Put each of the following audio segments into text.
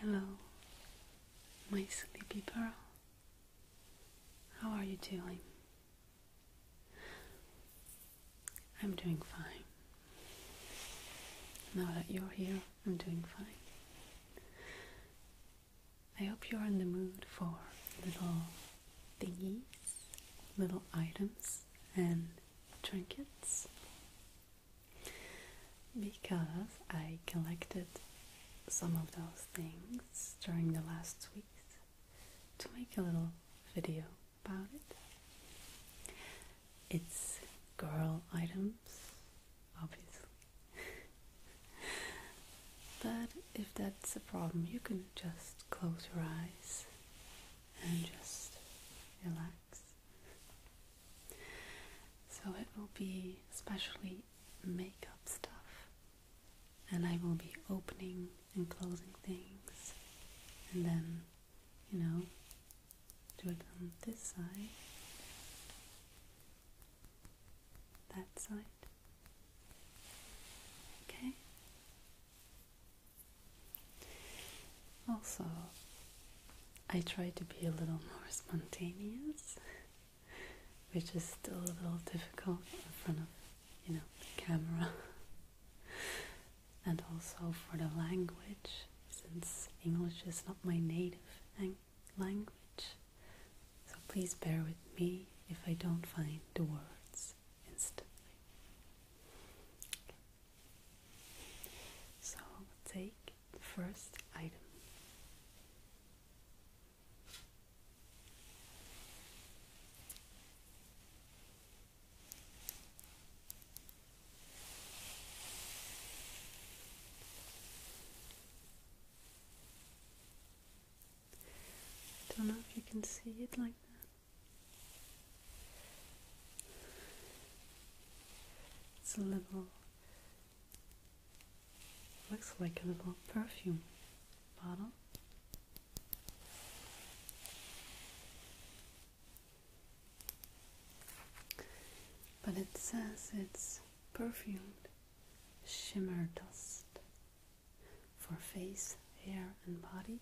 Hello, my sleepy pearl. How are you doing? I'm doing fine. Now that you're here, I'm doing fine. I hope you're in the mood for little thingies, little items, and trinkets because I collected some of those things during the last weeks to make a little video about it. It's girl items, obviously. but if that's a problem, you can just close your eyes and just relax. So it will be especially makeup stuff, and I will be opening and closing things, and then you know, do it on this side, that side. Okay, also, I try to be a little more spontaneous, which is still a little difficult in front of, you know, the camera. and also for the language, since English is not my native language. So please bear with me if I don't find the words this instantly. Okay. So take the first item. I don't know if you can see it like that. It's a little looks like a little perfume bottle. But it says it's perfumed shimmer dust for face, hair, and body.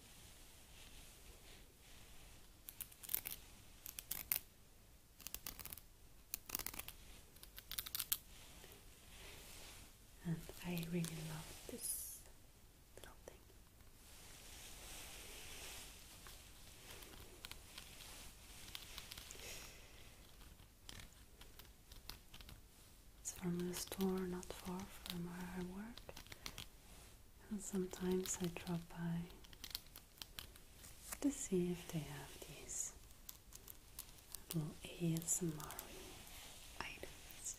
And I really love this little thing. It's from the store not far from where I work and sometimes I drop by to see if they have these little ASMR items.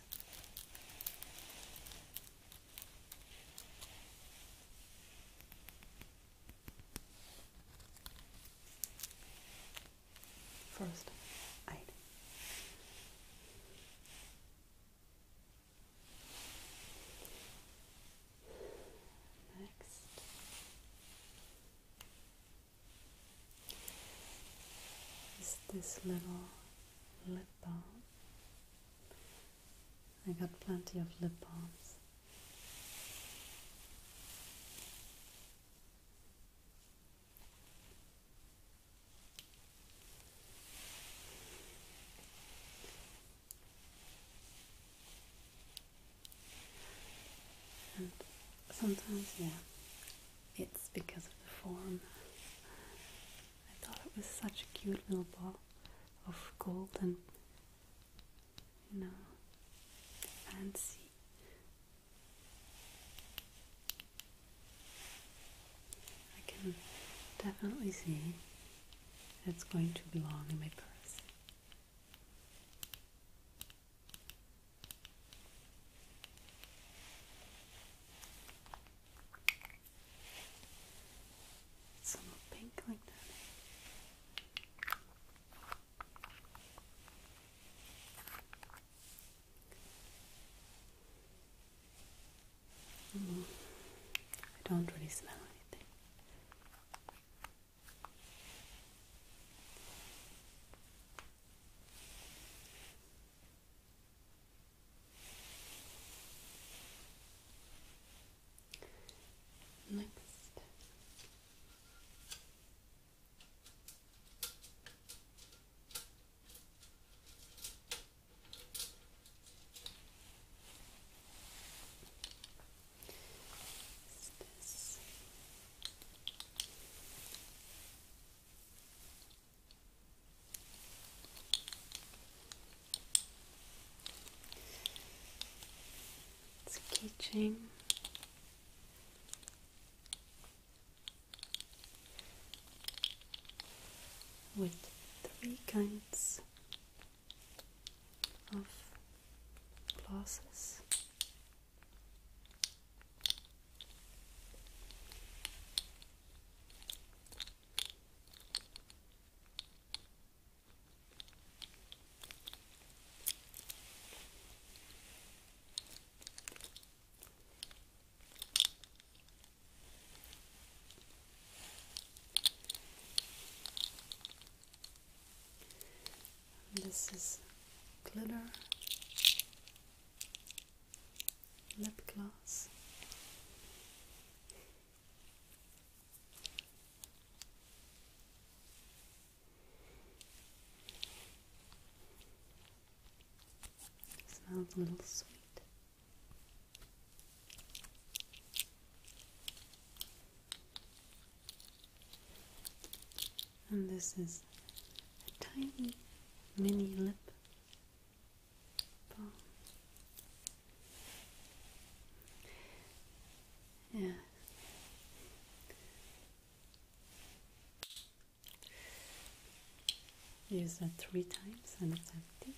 First item Next. Is this little lip balm? I got plenty of lip balms sometimes, yeah, it's because of the form. I thought it was such a cute little ball of gold and, you know, fancy. I can definitely see it's going to belong in my purse. It's pink like that. I don't really smell anything. Next. It's a keychain with three kinds of glasses this is glitter lip gloss. Smells a little sweet. And this is a tiny mini lip balm. Yeah. Use that three times and it's empty.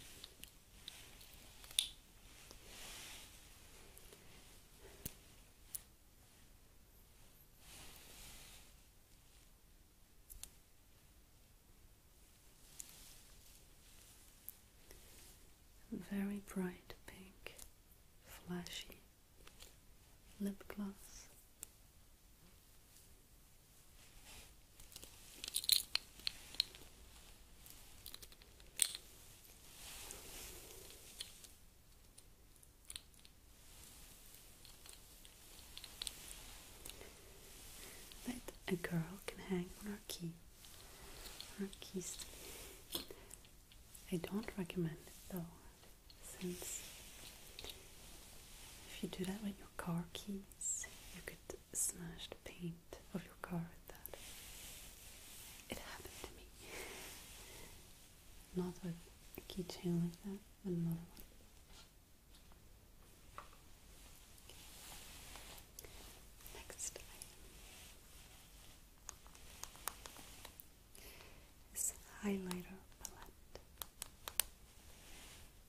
Very bright pink, flashy lip gloss. That a girl can hang on her key, her keys. I don't recommend it though, since if you do that with your car key, you could smash the paint of your car with that. It happened to me. Not with a keychain like that, but another one. Next item is highlighter palette.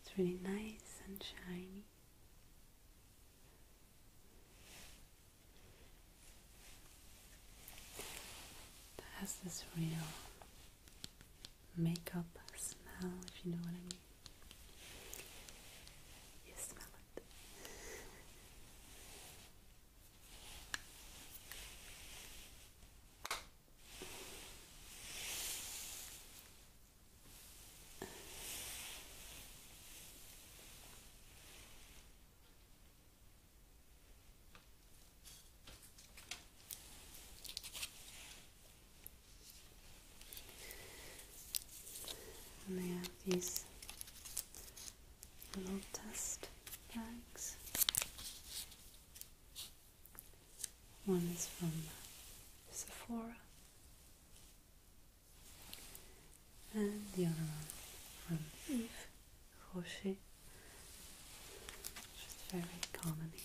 It's really nice and shiny. It has this real makeup smell, if you know what I mean. You smell it. And have these little dust bags. One is from Sephora, and the other one from Yves Rocher, which very common here.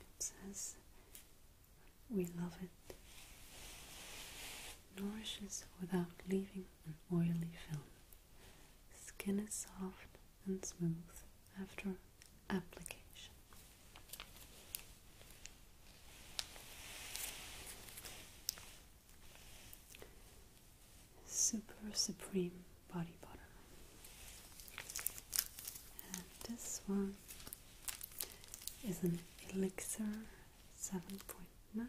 It says, We love it. Nourishes without leaving an oily film. Skin is soft and smooth after application. Super Supreme body butter. And this one is an elixir 7.9.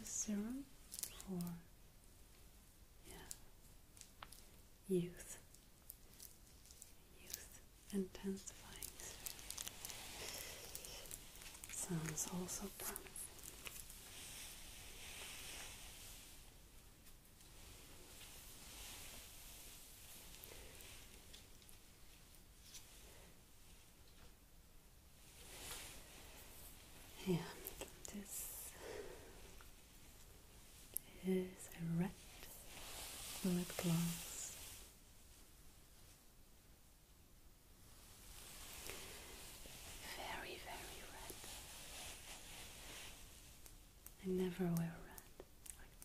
The serum for yeah, youth, youth intensifying. serum Sounds also promising. Yeah, this is a red lip gloss. Very, very red. I never wear red like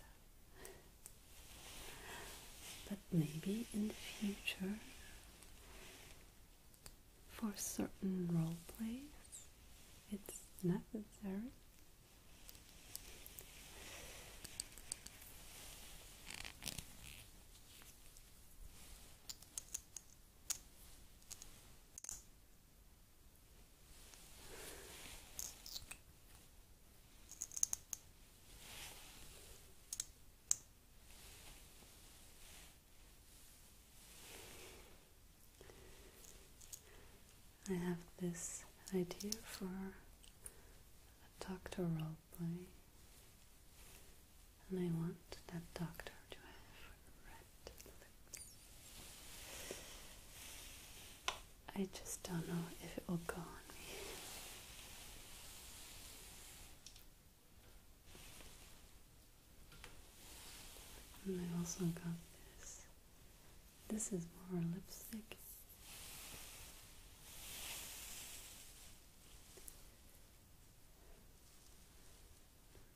that. But maybe in the future, for certain role plays, it's necessary. I have this idea for a doctoral play and I want that doctor to have red lips. I just don't know if it will go on me. And I also got this. This is more lipstick.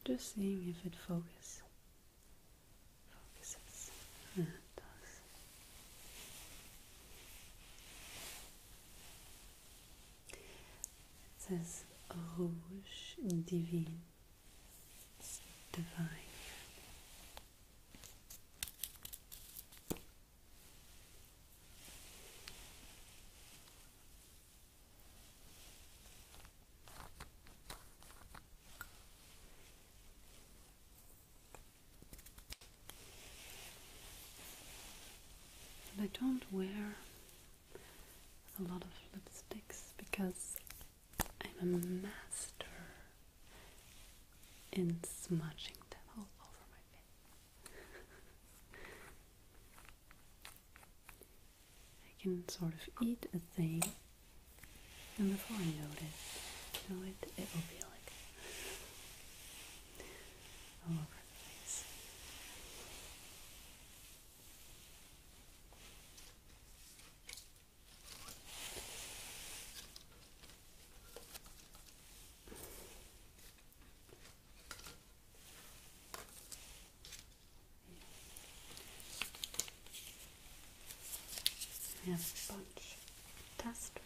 Just seeing if it focus focuses. Yeah, it does. It says Rouge Divine. divine. And I don't wear a lot of lipsticks because I'm a master in smudging them all over my face. I can sort of eat a thing, and before I know it, know it, it will be like over I have a bunch of testers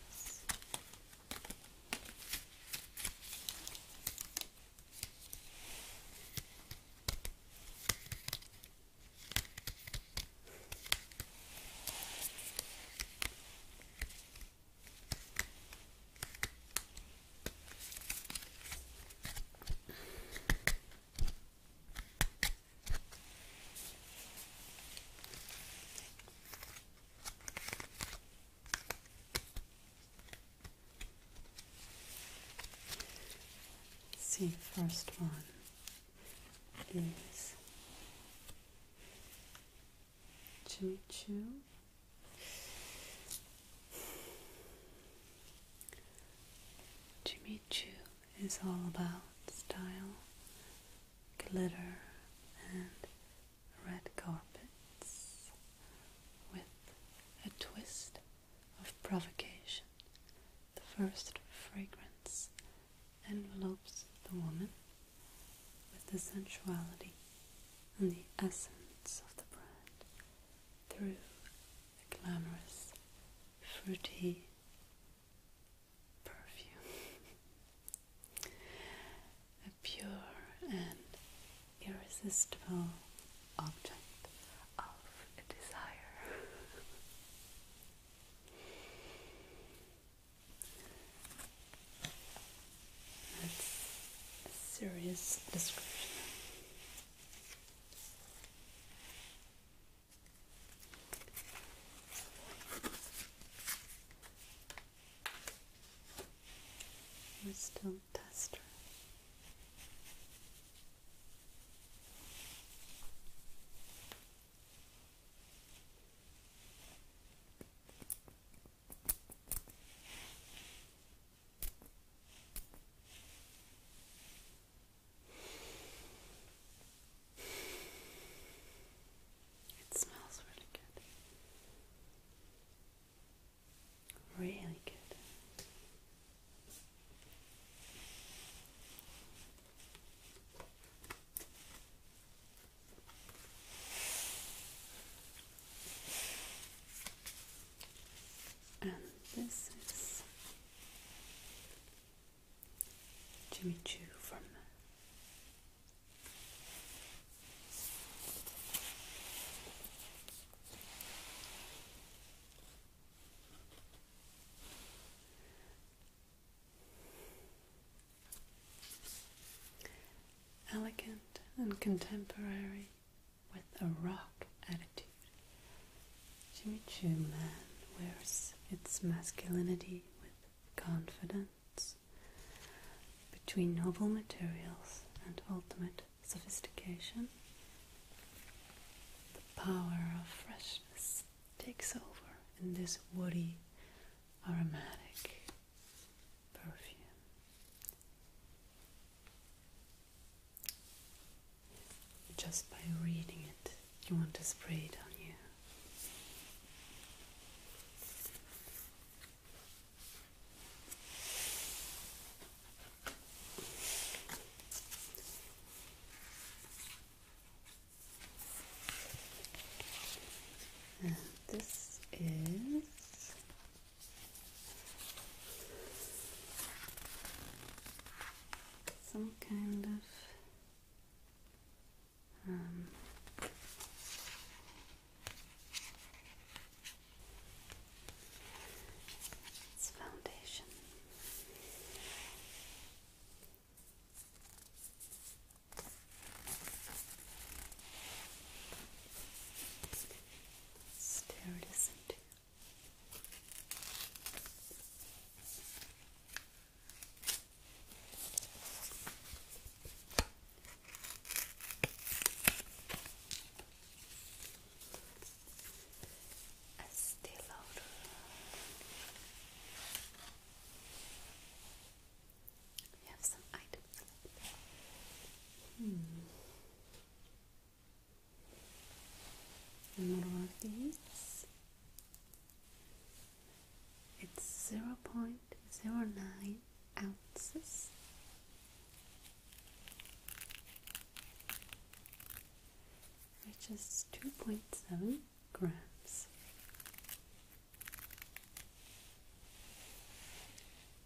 see, first one is Jimmy Choo Jimmy Choo is all about style, glitter, and red carpets with a twist of provocation. The first fragrance envelopes the woman with the sensuality and the essence of the brand through a glamorous, fruity perfume. A pure and irresistible object of desire. That's a serious description we're still tester. It smells really good. Really good and this is Jimmy Choo from elegant and contemporary with a rock attitude. Jimmy Chu Man wears its masculinity with confidence between noble materials and ultimate sophistication. The power of freshness takes over in this woody, aromatic, perfume. Just by reading it, you want to spray it on you. this is some kind of um, foundation. Steridism too. Estee Lauder. We have some items. Hmm. And what are these? It's 0.09 ounces. Which is 2.7 grams.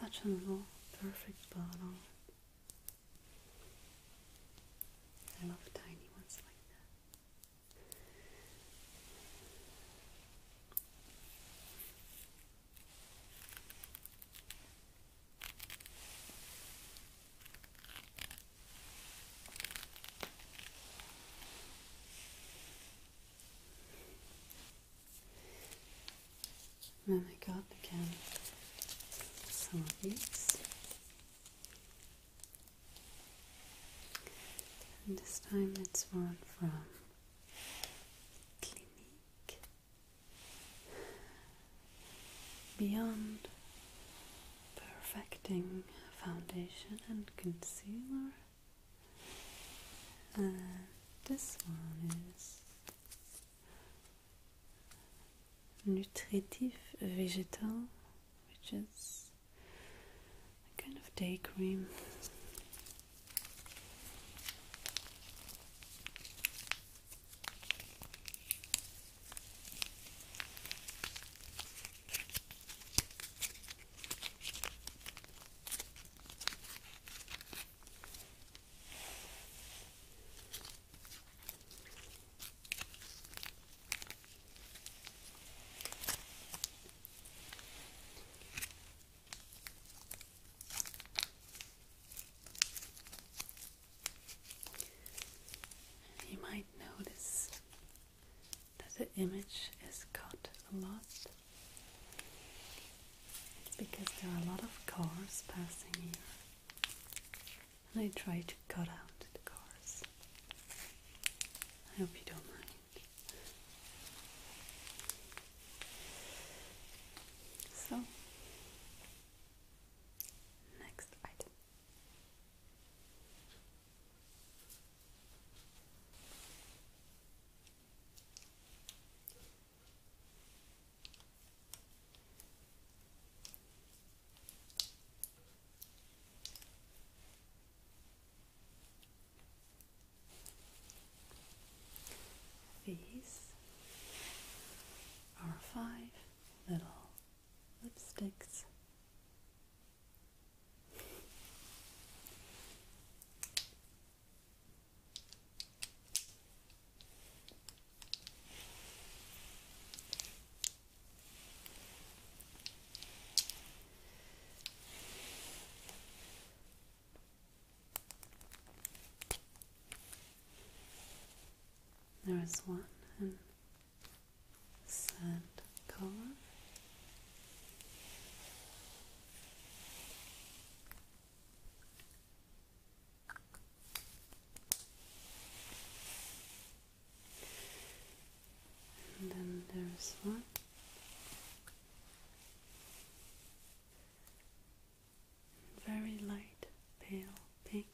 Such a little perfect bottle. I love tiny ones like that. And I got again some of these. And this time it's one from Clinique Beyond Perfecting Foundation and Concealer. And this one is nutritive vegetal, which is a kind of day cream. You might notice that the image is cut a lot because there are a lot of cars passing here, and I try to cut out the cars. I hope you don't mind. So, next item. These are five little lipsticks. There is one in sand color. And then there's one. Very light pale pink.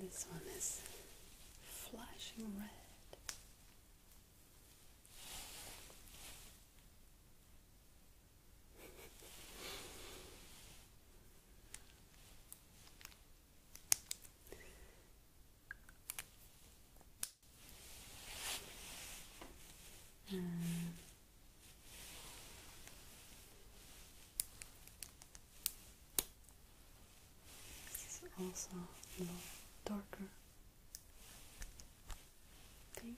This one is flashing red. Um, this is also darker pink.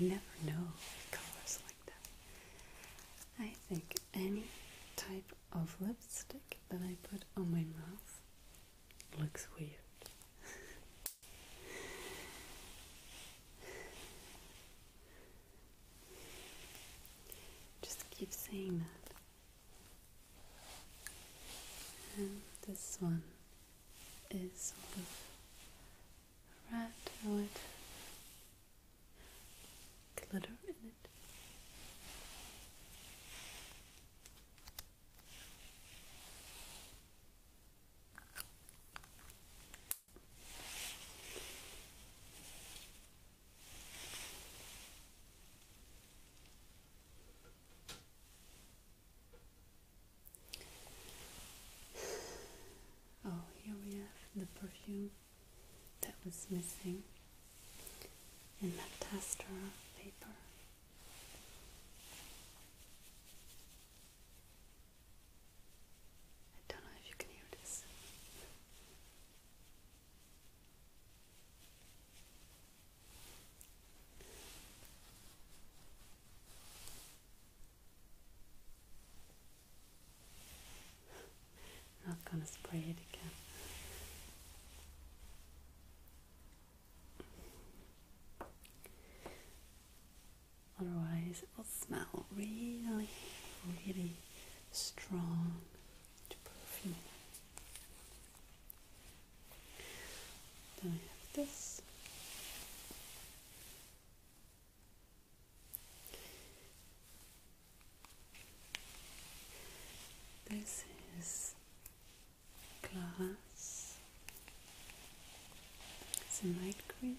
I never know colors like that. I think any type of lipstick that I put on my mouth looks weird. Just keep saying that. And this one is sort of red with glitter in it. Oh, here we have the perfume that was missing in that Tastora paper. I don't know if you can hear this not going to spray it again. Otherwise, it will smell really, really strong then I have this. This is glass. It's a night cream.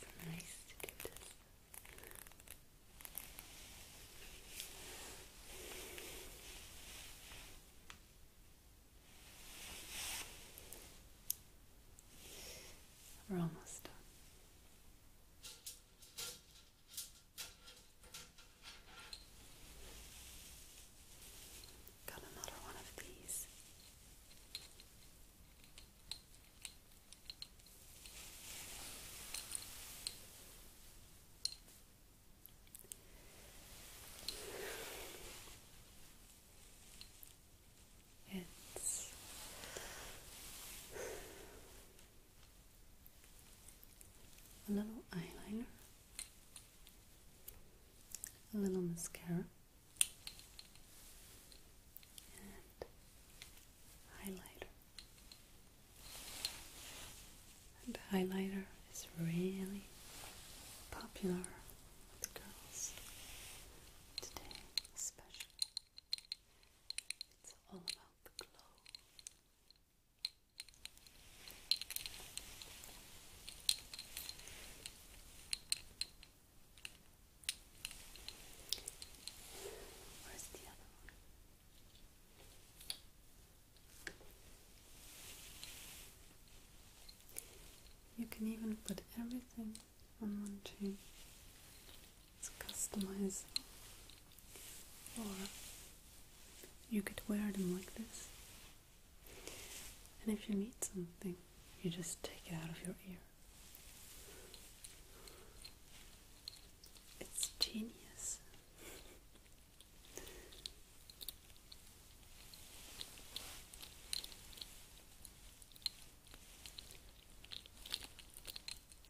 It's nice to do We're almost done. Got another one of these. It's a little eyeliner, a little mascara, and highlighter. And highlighter is really popular with the girls today, especially. It's all about the glow. Where's the other one? You can even put everything on one chain. It's customizable or you could wear them like this. And if you need something, you just take it out of your ear. It's genius.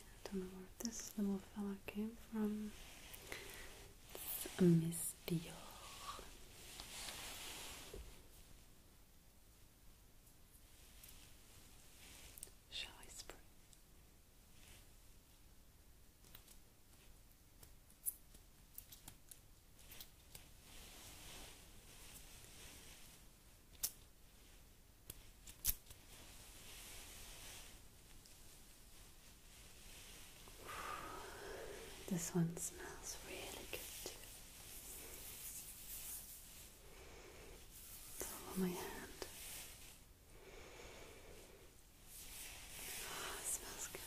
I don't know where this little fella came from. It's a Miss Dior. Shall I spray? This one smells really good. on my hand. Oh, smells good.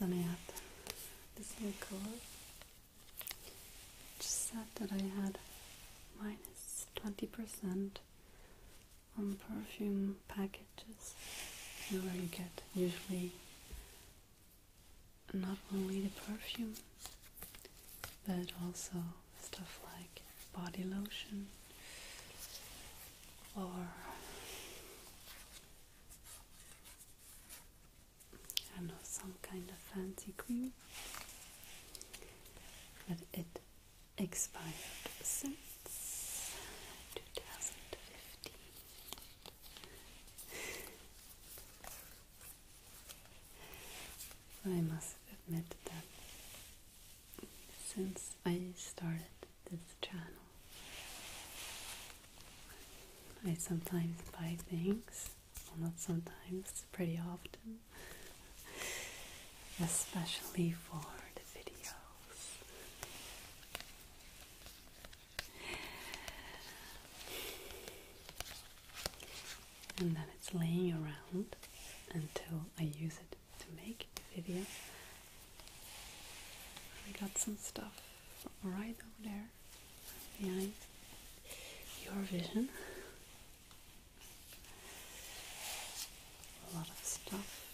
And then I this little color, which said that I had minus 20% on perfume packages, where you get usually not only the perfume but also stuff like body lotion or I know some kind of fancy cream but it expired since 2015 I must admit that since I started this channel, I sometimes buy things, not sometimes, pretty often, especially for the videos and then it's laying around until I use it to make a video. I got some stuff right over there behind your vision. A lot of stuff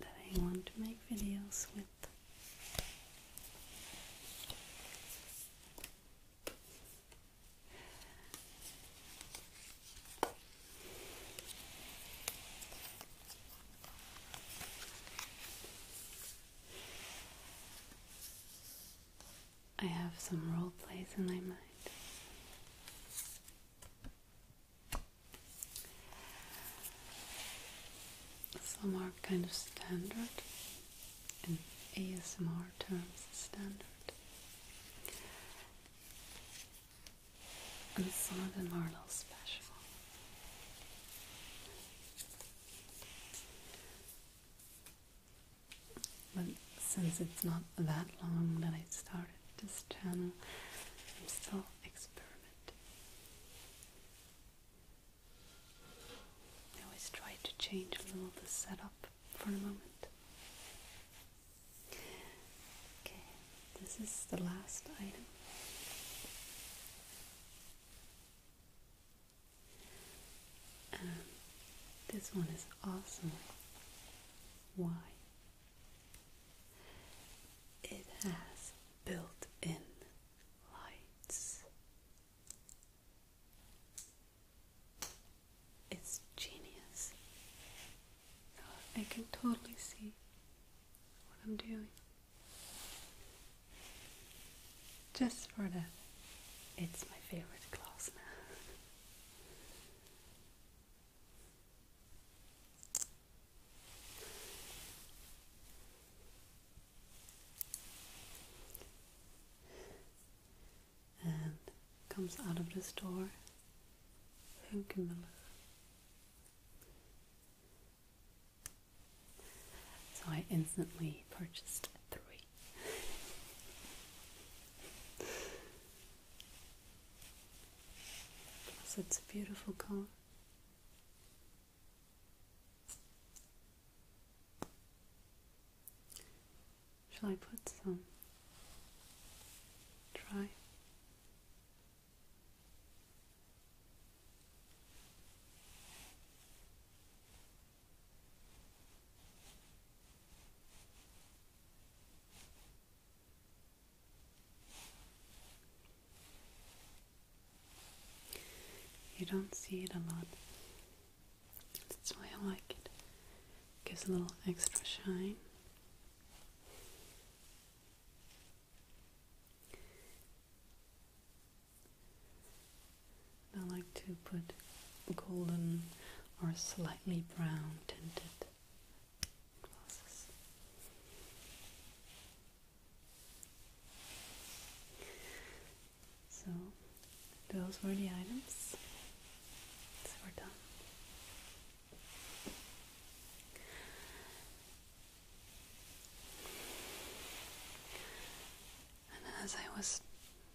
that I want to make videos with. I have some role plays in my mind. Some are kind of standard, in ASMR terms, standard. And some of them are a little special. But since it's not that long that I started this channel. I'm still experimenting. I always try to change a little the setup for a moment. Okay, this is the last item. Um, this one is awesome. Why? It has built in lights. It's genius. I can totally see what I'm doing. Just for that, it's my favorite class now and comes out of the store Hönkemüller. So I instantly purchased three because it's a beautiful color. Shall I put some? Try. You don't see it a lot. That's why I like it. Gives a little extra shine. I like to put golden or slightly brown tinted so those were the items. we're done. And as I was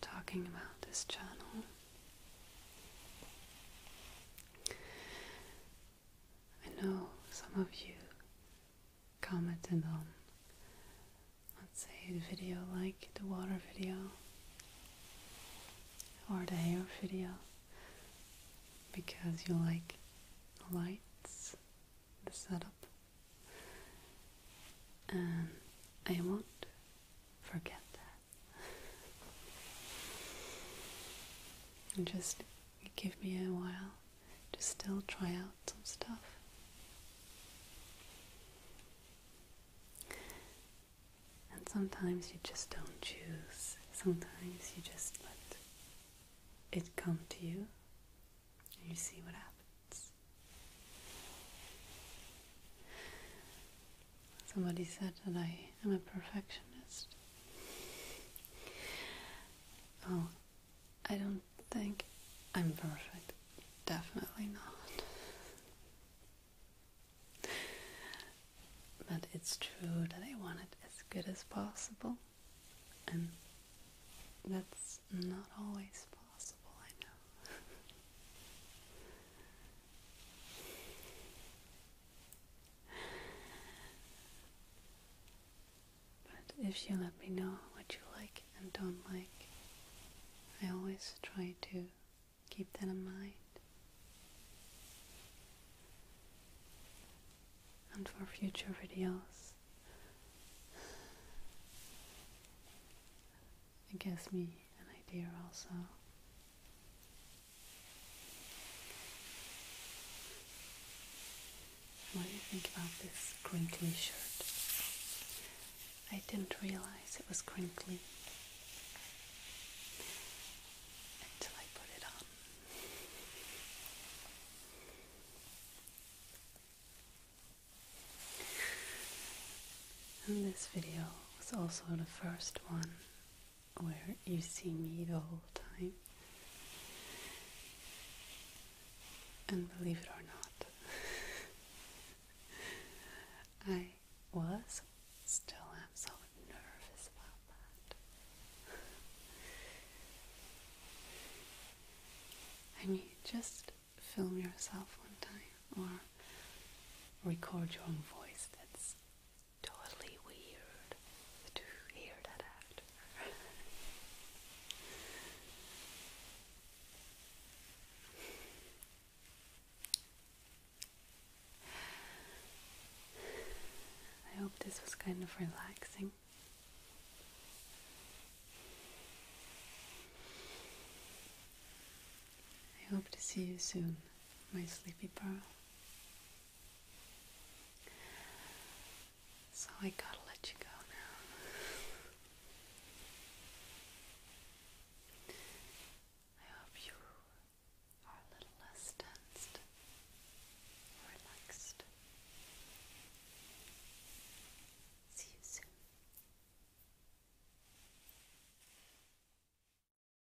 talking about this channel, I know some of you commented on, let's say, the video like the water video or the hair video because you like the lights, the setup, and I won't forget that. And just give me a while to still try out some stuff. And sometimes you just don't choose. Sometimes you just let it come to you and you see what happens. Somebody said that I am a perfectionist. Oh, I don't think I'm perfect. Definitely not. But it's true that I want it as good as possible, and that's not always possible, I know. But if you let me know what you like and don't like, I always try to keep that in mind. And for future videos, it gives me an idea also what do you think about this crinkly shirt? I didn't realize it was crinkly until I put it on. this video was also the first one where you see me the whole time. And believe it or not, I was, still am so nervous about that. I mean, just film yourself one time or record your own voice. That's totally weird to hear that after. I hope this was kind of relaxing. I hope to see you soon, my sleepy pearl. So I gotta let you go now. I hope you are a little less tensed, relaxed. See you soon.